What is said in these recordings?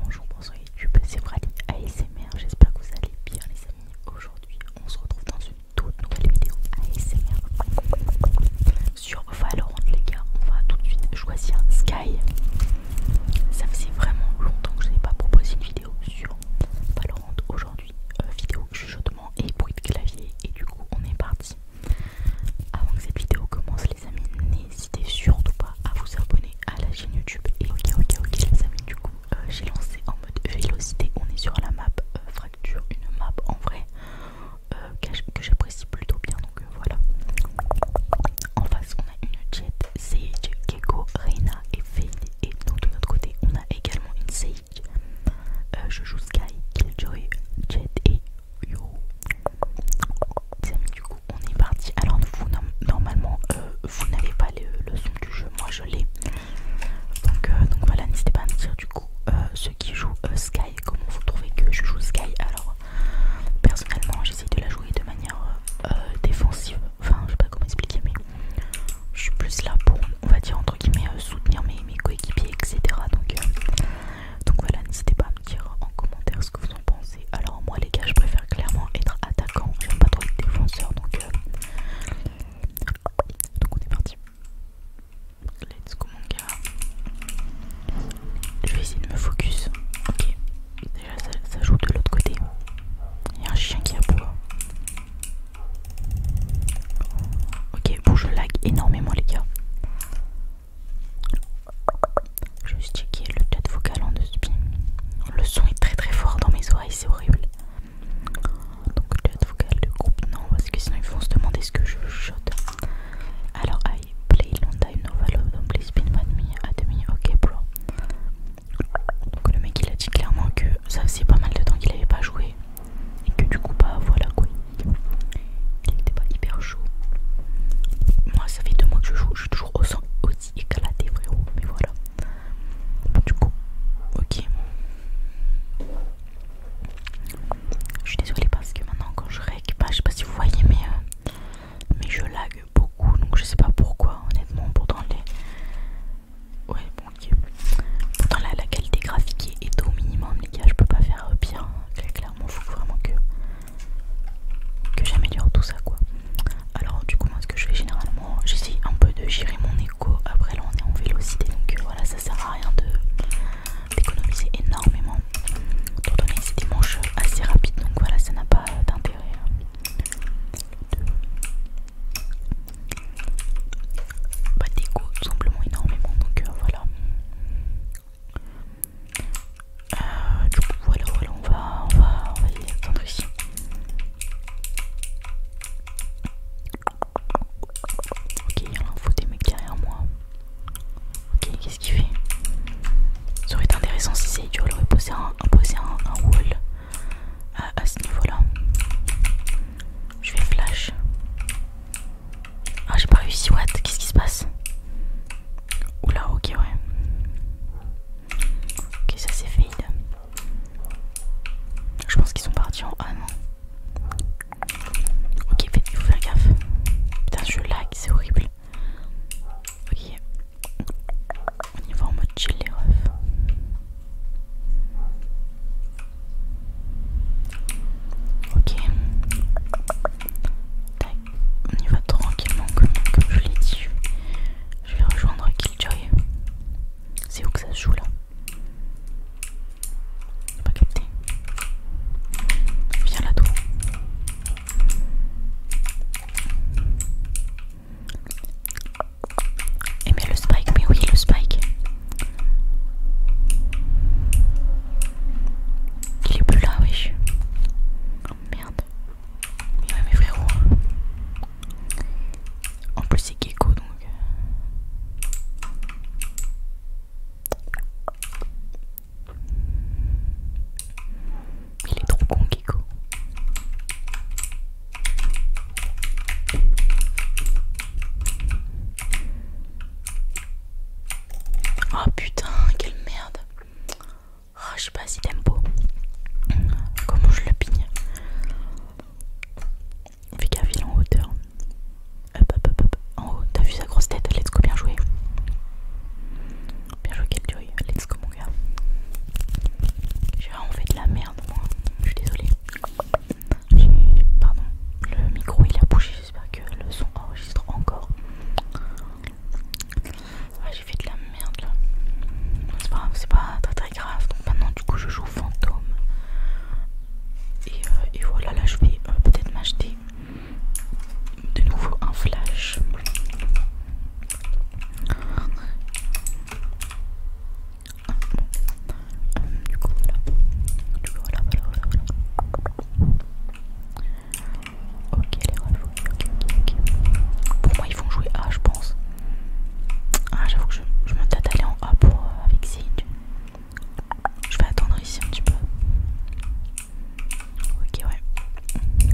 Bonjour, bonsoir YouTube, c'est Friday ASMR, j'espère que vous allez bien les amis. Aujourd'hui, on se retrouve dans une toute nouvelle vidéo ASMR sur Valorant les gars. On va tout de suite choisir Sky. Ça faisait vraiment longtemps que je n'ai pas proposé une vidéo sur Valorant aujourd'hui. Euh, vidéo chuchotement et bruit de clavier et du coup on est parti. Avant que cette vidéo commence les amis, n'hésitez n'hésitez surtout pas à vous abonner à la chaîne YouTube. Et ok, ok, ok, les amis, du coup, euh, j'ai lancé en mode vélocité. On est sur la map euh, Fracture, une map en vrai euh, que j'apprécie plutôt bien. Donc voilà. En face, on a une Jet, Sage, Gecko, Reina et Fade. Et donc de l'autre côté, on a également une Sage. je joue Sky, Killjoy, Jet et Yo les amis, du coup, on est parti. Alors, vous, normalement, euh, vous n'avez pas le, son du jeu, moi je l'ai. Donc, euh, donc voilà, n'hésitez pas à me dire du coup euh, ceux qui jouent Sky, comment vous trouvez que je joue Sky. Alors, personnellement, j'essaie de la jouer de manière défensive. Enfin, je sais pas comment expliquer, mais je suis plus là pour, on va dire, entre guillemets, soutenir mes, mes coéquipiers, etc. Donc, donc voilà, n'hésitez pas à me dire en commentaire ce que vous en pensez alors, moi, les gars, je préfère clairement être attaquant. J'aime pas trop être défenseur. Donc, euh, donc on est parti. Let's go, mon gars. Je vais essayer de me focus. Ok. Déjà, ça, joue de l'autre côté. Il y a un chien qui a aboie. Ok, bon, je lag énormément, les gars juste qui checker le chat vocal en spin Le son est très très fort dans mes oreilles, c'est horrible. Donc le chat vocal de groupe, non, parce que sinon ils vont se demander ce que je shot. Alors, I play London Nova Love, don't play spin with demi à demi ok bro. Donc le mec il a dit clairement que ça faisait pas mal de temps qu'il avait pas joué. Et que du coup, bah voilà quoi. Il était pas hyper chaud. Moi ça fait deux mois que je joue, je suis toujours au, au éclaté frérot mais voilà du coup ok je suis désolée parce que maintenant quand je récupère, je sais pas si vous voyez mais, euh, mais je lag beaucoup donc je sais pas pourquoi honnêtement pourtant les ouais bon ok pourtant la, qualité graphique est, au minimum les gars je peux pas faire pire hein. clairement faut vraiment que que j'améliore tout ça quoi alors du coup moi ce que je fais généralement j'essaye un peu de gérer mon écho après là on est en vélocité donc euh, voilà ça sert à rien d'économiser énormément Tant donné que c'est des manches assez rapides donc voilà ça n'a pas d'intérêt hein. pas d'écho tout simplement énormément donc euh, voilà euh, du coup voilà voilà on va on va on va attendre ici Ok, il y a l'info des mecs derrière moi. Ok, qu'est-ce qu'il fait Ça aurait été intéressant si c'est aurait posé un, posé un, wall à, ce niveau-là. Je vais flash. Ah, j'ai pas réussi, what Qu'est-ce qui se passe Oula, ok, ouais. Ok, ça c'est fade. Je pense qu'ils sont partis en A, non Ok, faites vous faire gaffe. Putain, je lag, c'est horrible. Ok, on y va en mode chill, les refs. Ok, Tac. on y va tranquillement, comme, comme je l'ai dit. Je vais rejoindre Killjoy. C'est où que ça se joue là J'ai pas capté. Viens là dedans Et eh, mais le spike, mais oui le spike. Il est plus là, wesh. Oh merde. Ouais, mais frérot. Hein. En plus, c'est Gecko donc. Euh. Il est trop con, Gecko. Oh putain, quelle merde. Oh, je sais pas si tempo. Comment je le pigne Fais gaffe, il en hauteur. Hop, hop, hop, En haut, t'as vu sa grosse tête Let's go, bien joué. Bien joué, joy, Let's go, mon gars. J'ai vraiment fait de la merde, moi. Je suis désolée. Pardon, le micro il a bougé. J'espère que le son enregistre encore. Ah, j'ai fait de la merde là. C'est pas, très très grave. Donc maintenant, du coup, je joue fantôme. Euh, et, voilà, là, je vais euh, peut-être m'acheter de nouveau un flash. du coup, voilà. Ok, pour moi, ils vont jouer A, je pense. Ah, j'avoue que je, me tâte aller en A pour, euh, avec Z Je vais attendre ici un petit peu. Ok, ouais.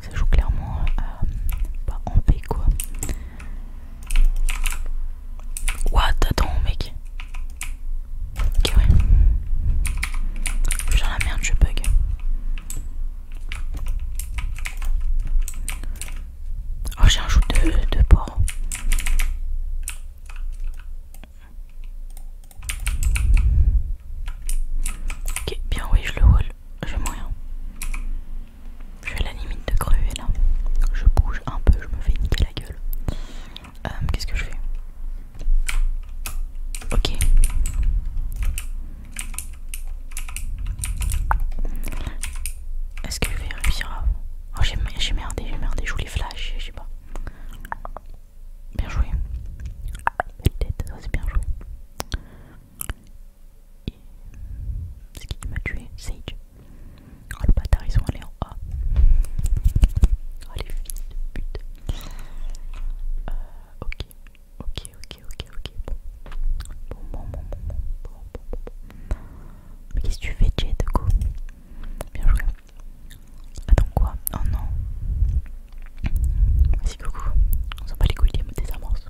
Ça joue clairement euh, pas en B quoi. What Attends, mec. Ok, ouais. Putain, la merde, je bug. Oh, j'ai un joue de, porc. Ok, bien, oui, je le roule. Je moyen. Je suis à la limite de crever là. Je bouge un peu, je me fais niquer la gueule. Euh, qu'est-ce que je fais Ok. Est-ce que je vais réussir à... Oh j'ai merdé, j'ai merdé, je les flashs, je sais pas. Bien joué. Belle Ça c'est bien joué. Et... C'est qui qui m'a tué Sage. Oh le bâtard, ils sont allés en A. Oh les fils de pute. Euh, ok. Ok, ok, ok, ok. Bon, bon, bon, bon, bon, bon, bon, Mais qu'est-ce que tu fais, de coup Bien joué. Attends, quoi Oh non. Vas-y, coucou. On s'en bat les couilles, des des désamorce.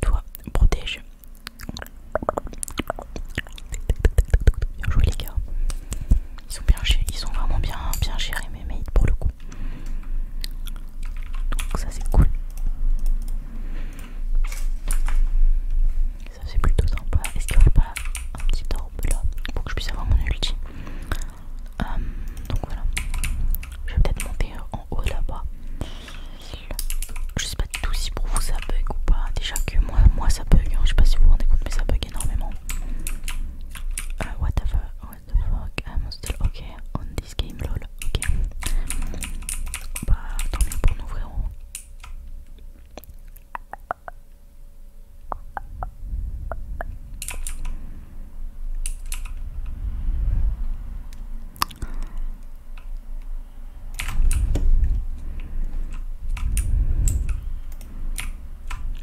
Toi, protège. Bien joué, les gars. Ils sont bien, ils sont vraiment bien, bien gérés, mes mates, pour le coup. Donc ça c'est cool. Ça c'est plutôt sympa. Est-ce qu'il n'y aurait pas un petit orbe là pour que je puisse avoir mon ulti euh, Donc voilà. Je vais peut-être monter euh, en haut là-bas. Je sais pas du tout si pour vous ça bug ou pas. Déjà que moi, moi ça bug. Hein. Je sais pas si vous vous rendez compte mais ça bug énormément. Euh, what the fuck What the fuck? I'm ah, on this game, lol. Ok. Bah, tant mieux pour nous, frérot.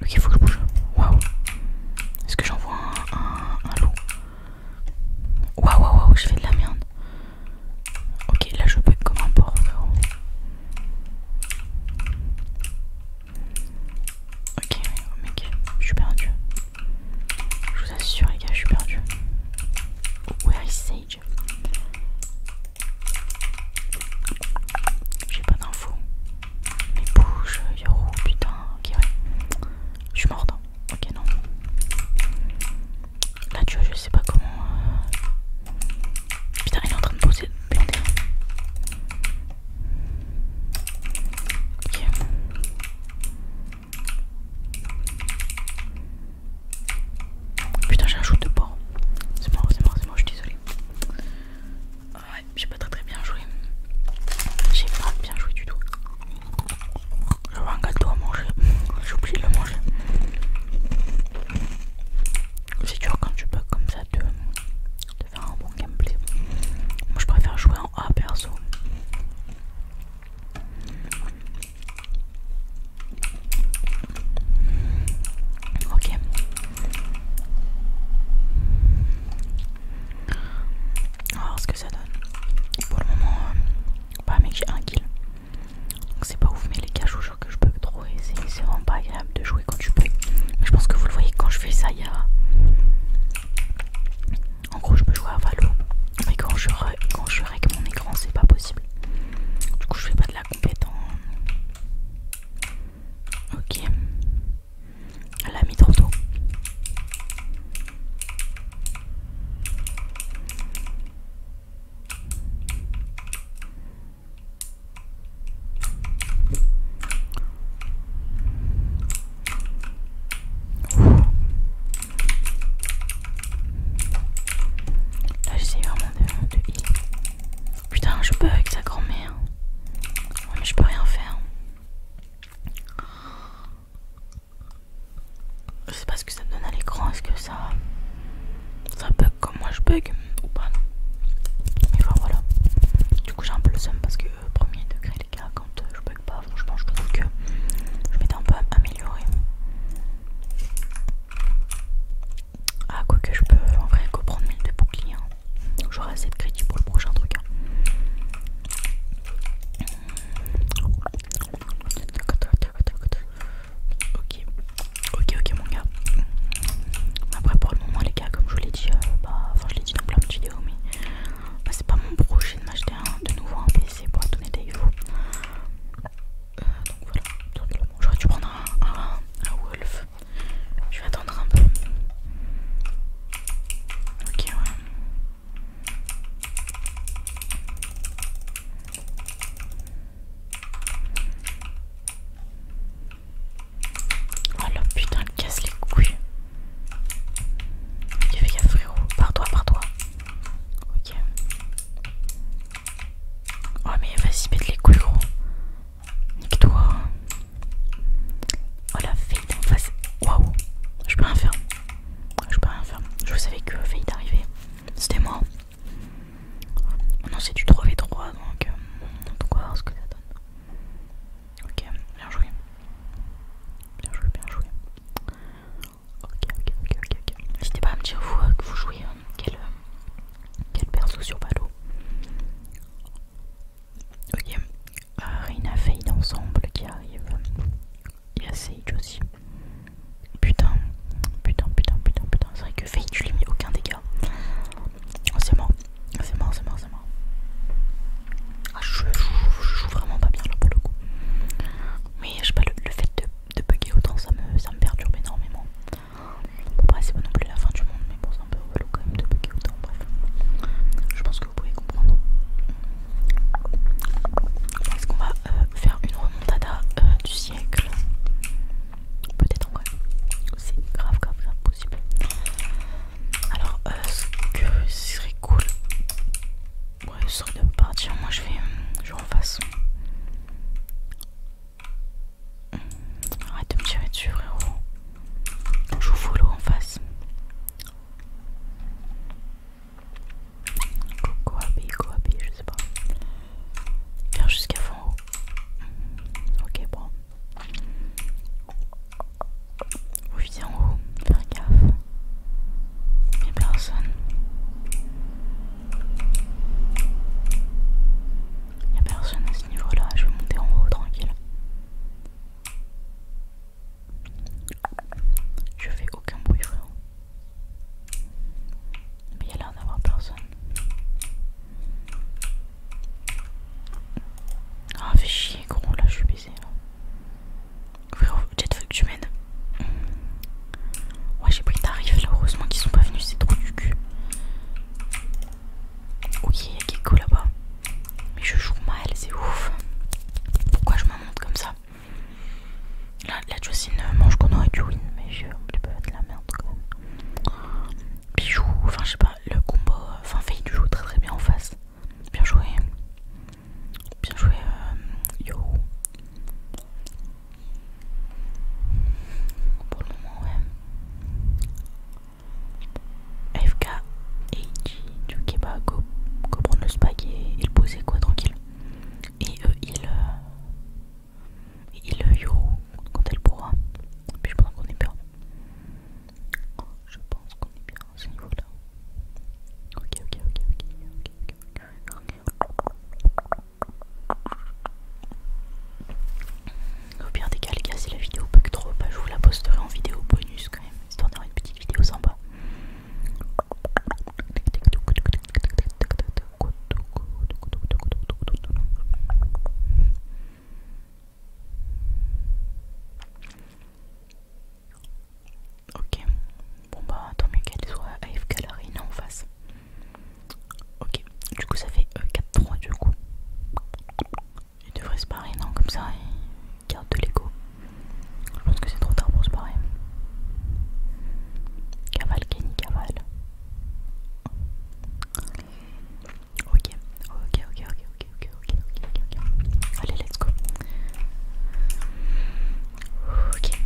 Ok, faut que je bouge. Waouh! Est-ce que j'envoie un, un, un loup? Waouh, waouh, waouh, je fais de la merde. Ok, là je être comme un porc, Ok, mec, je suis perdu. Je vous assure, les gars, je suis perdu. Where is Sage J'ai pas d'infos. Mais bouge, Yoro, putain, ok, ouais. Je suis morte. Ok, non. Là, tu vois, je sais pas comment. Euh, putain, il est en train de poser, Putain, j'ai un shoot de porc. C'est mort, c'est mort, c'est mort, je suis désolée. Ouais, très très bien joué. J'ai pas bien joué du tout. J'avais un gâteau à manger, j'ai oublié de le manger. C'est dur quand tu peux comme ça de, de faire un bon gameplay. Moi je préfère jouer en A perso. Ok. On va voir ce que ça donne. Pour le moment, euh, pas j'ai un kill. Donc c'est pas ouf mais les caches je que je peux trop c'est vraiment pas agréable de jouer quand tu peux. je pense que vous le voyez quand je fais ça y En gros je peux jouer à Valo. Mais quand je, quand je règle mon écran c'est pas possible. Du coup je fais pas de la compétence. Ok. Elle l'a mis trop tôt. Là vraiment de, Putain je peux avec sa grand-mère. mais je peux rien faire. Je sais pas ce que ça me donne à l'écran, est-ce que ça. Ça bug comme moi je bug ou pas Mais voilà. Du coup j'ai un peu le seum parce que euh, premier degré les gars quand euh, je bug pas franchement je trouve que je m'étais un peu améliorer Ah quoi que je peux en vrai comprendre mille de boucliers. Hein. J'aurai assez de crédit pour le prochain truc. Hein. Ok, ok, ok, mon gars. Après, pour le moment, les gars, comme je vous l'ai dit, euh, bah, enfin, je l'ai dit dans plein de vidéos, mais bah, c'est pas mon projet de m'acheter de nouveau un PC pour être honnête euh, donc voilà, tout Je J'aurais tu prendre un, un, un Wolf. Je vais attendre un peu. Ok, ouais. Oh la putain, elle casse les couilles. Il y avait frérot. Par toi, par toi. Ok. Oh mais vas-y, mettre les couilles gros. Nique-toi. Oh la fille face. Waouh. Je peux rien faire je peux rien faire. Je savais que failli d'arriver. C'était moi. Maintenant oh c'est du 3v3 donc, euh, on va voir ce que ça donne. Ok, bien joué. Bien joué, bien joué. Ok, ok, ok, ok. ok. N'hésitez pas à me dire vous euh, que vous jouez euh, quel, quel perso sur Palo. Ok, Rina Fade ensemble qui arrive. Il y a Sage aussi. Putain, putain, putain, putain, putain. C'est vrai que Fade, je lui mis aucun dégât. Oh, c'est mort, c'est mort, c'est mort, ah, je joue, vraiment pas bien là pour le coup. Mais je sais pas, le, fait de, bugger autant, ça me, ça me perturbe énormément. Après, c'est pas non plus la fin du monde, mais bon, c'est un peu relou quand même de bugger autant. Bref, je pense que vous pouvez comprendre. Est-ce qu'on va euh, faire une remontada euh, du siècle Peut-être en quoi, C'est grave, grave, ça possible. Alors, euh, ce que serait cool. Ouais, ce serait de partir. Moi, je vais, je vais en face. Arrête de me tirer dessus, frérot. Je vous follow en face. Coco Happy, Coco Happy, je sais pas. Faire jusqu'à fond. Hmm, ok, bon. Oui, en haut, faire gaffe. Il n'y a personne. Il n'y a personne à ce niveau-là, je vais monter en haut tranquille. Je fais aucun bruit frérot. Mais il y a l'air d'avoir personne. Ah fais chier gros là je suis baisée Frérot, peut-être faut que tu m'aides. Ouais j'ai pris tarif là, heureusement qu'ils sont pas venus, c'est trop du cul. Ok, il y a Kiko là-bas. Mais je joue mal, c'est ouf. Pourquoi je me monte comme ça la jocine euh, mange qu'on aurait du win, mais je peux être de la merde quand Bijou, enfin je sais pas, le combo, euh, enfin Faye du joue très très bien en face. Bien joué. Bien joué, euh, yo. Pour le moment, ouais. FK, Eiji, tu vas go, go prendre le spag et, et le poser quoi, tranquille. Euh, euh, et il. Euh, y il quand elle pourra. Et puis je pense qu'on est bien. Je pense qu'on est bien à ce niveau-là. Ok, ok, ok, ok, ok, ok, Au pire des cas, les si la vidéo bug trop, bah, je vous la posterai en vidéo bonus quand même, histoire d'avoir une petite vidéo sympa. Ok, bon bah tant mieux qu'elle soit avec la non en face. Ok, du coup ça fait 4-3 euh, du coup. Il devrait se barrer, non Comme ça, il garde de l'ego. Je pense que c'est trop tard pour se parler. Cavale, Kenny, cavale. Ok, ok, ok, ok, ok, ok, ok, ok, ok. Allez, let's go. Ok.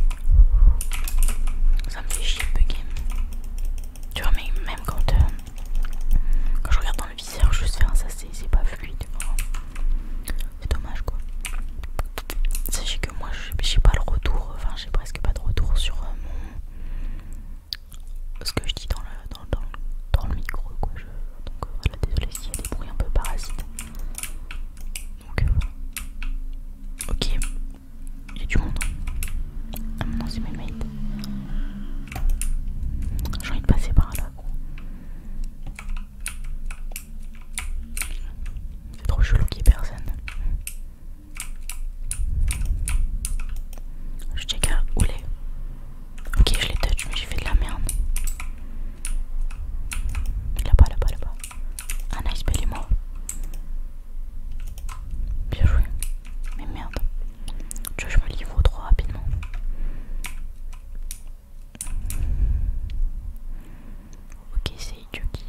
Ça me fait chier de bugger. Tu vois, mais même quand, euh, quand je regarde dans le visage je fais un ça, c'est pas fluide. C'est dommage quoi. Sachez que moi j'ai pas le retour, enfin j'ai presque pas de retour sur euh, mon... ce que je dis dans le, dans, le micro quoi. Donc euh, voilà, désolé s'il y a des bruits un peu parasites. Donc euh, ok, j'ai y a du monde. Ah non c'est mes mains J'ai envie de passer par là quoi. C'est trop chelou qu'il y personne. Je t'ai qu'à où les. Ok, je les touch, mais j'ai fait de la merde. Là-bas, là-bas, là-bas. Ah, nice, bel est mort. Bien joué. Mais merde. Tu vois, je me livre trop rapidement. Ok, c'est idiot qui,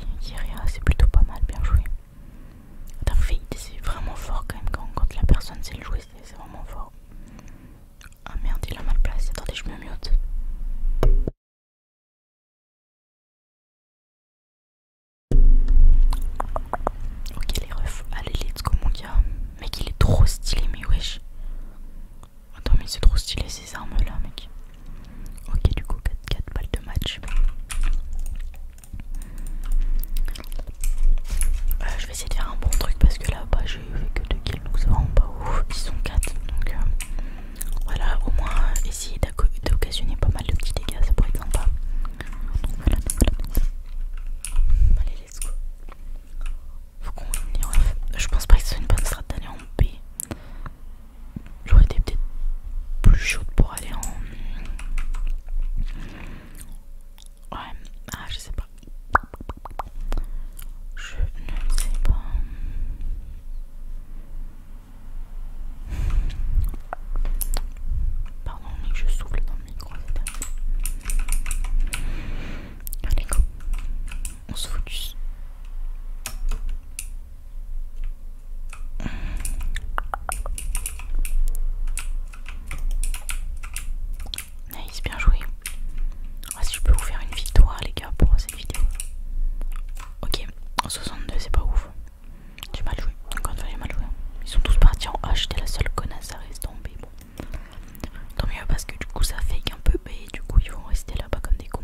c'est plutôt pas mal, bien joué. T'as fille c'est vraiment fort quand même, quand, la personne sait le jouer, c'est vraiment fort. Ah merde, il a mal placé, attendez, je me mute. Ok les refs, allez let's go mon gars Mec il est trop stylé mais wesh Attends mais c'est trop stylé ces armes là mec. Ok du coup 4, -4 balles de match. Euh, je vais essayer de faire un bon truc parce que là bas j'ai fait que deux kills donc c'est vraiment pas ouf. Ils sont 4 donc euh, voilà au moins essayer essayer d'occasionner pas mal de petits dégâts ça pourrait être sympa. voilà, Allez let's go. Faut qu'on y les Je pense pas que c'est une bonne strat d'aller en B j'aurais été peut-être plus chaude pour aller en... Ouais, ah je sais pas. Je ne sais pas. Pardon, mais je souffle dans le micro. Allez, go on se focus. Nice, bien joué. Ah, si je peux vous faire une victoire, les gars, pour cette vidéo. Ok, 62, c'est pas ouf. J'ai mal joué. Encore j'ai mal joué. Ils sont tous partis en H, T'es la seule connasse à rester en B. tant mieux parce que du coup, ça fake un peu Et du coup, ils vont rester là-bas comme des cons.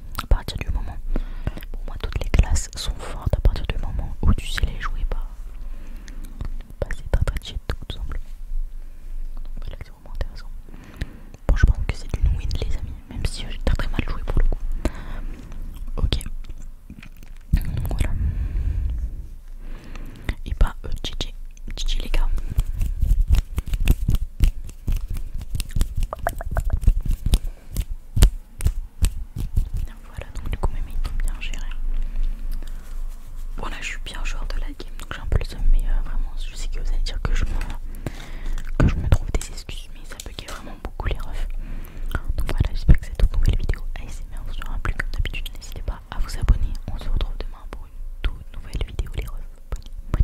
à partir du moment pour moi toutes les classes sont fortes à partir du moment où tu sais les jouer bah, bah, pas. c'est très très cheat tout semble c'est vraiment intéressant bon je pense que c'est une win les amis même si j'ai très très mal joué pour le coup ok voilà et pas GG euh, GG les gars voilà, donc du coup, mes mythes sont bien gérés Bon, là, je suis bien joueur de la game, donc j'ai un peu le seum, mais vraiment, je sais que vous allez dire que je, me, que je me trouve des excuses, mais ça bugue vraiment beaucoup les refs. Donc voilà, j'espère que cette nouvelle vidéo a ASMR vous aura plu. Comme d'habitude, n'hésitez pas à vous abonner. On se retrouve demain pour une toute nouvelle vidéo, les refs. Bonne,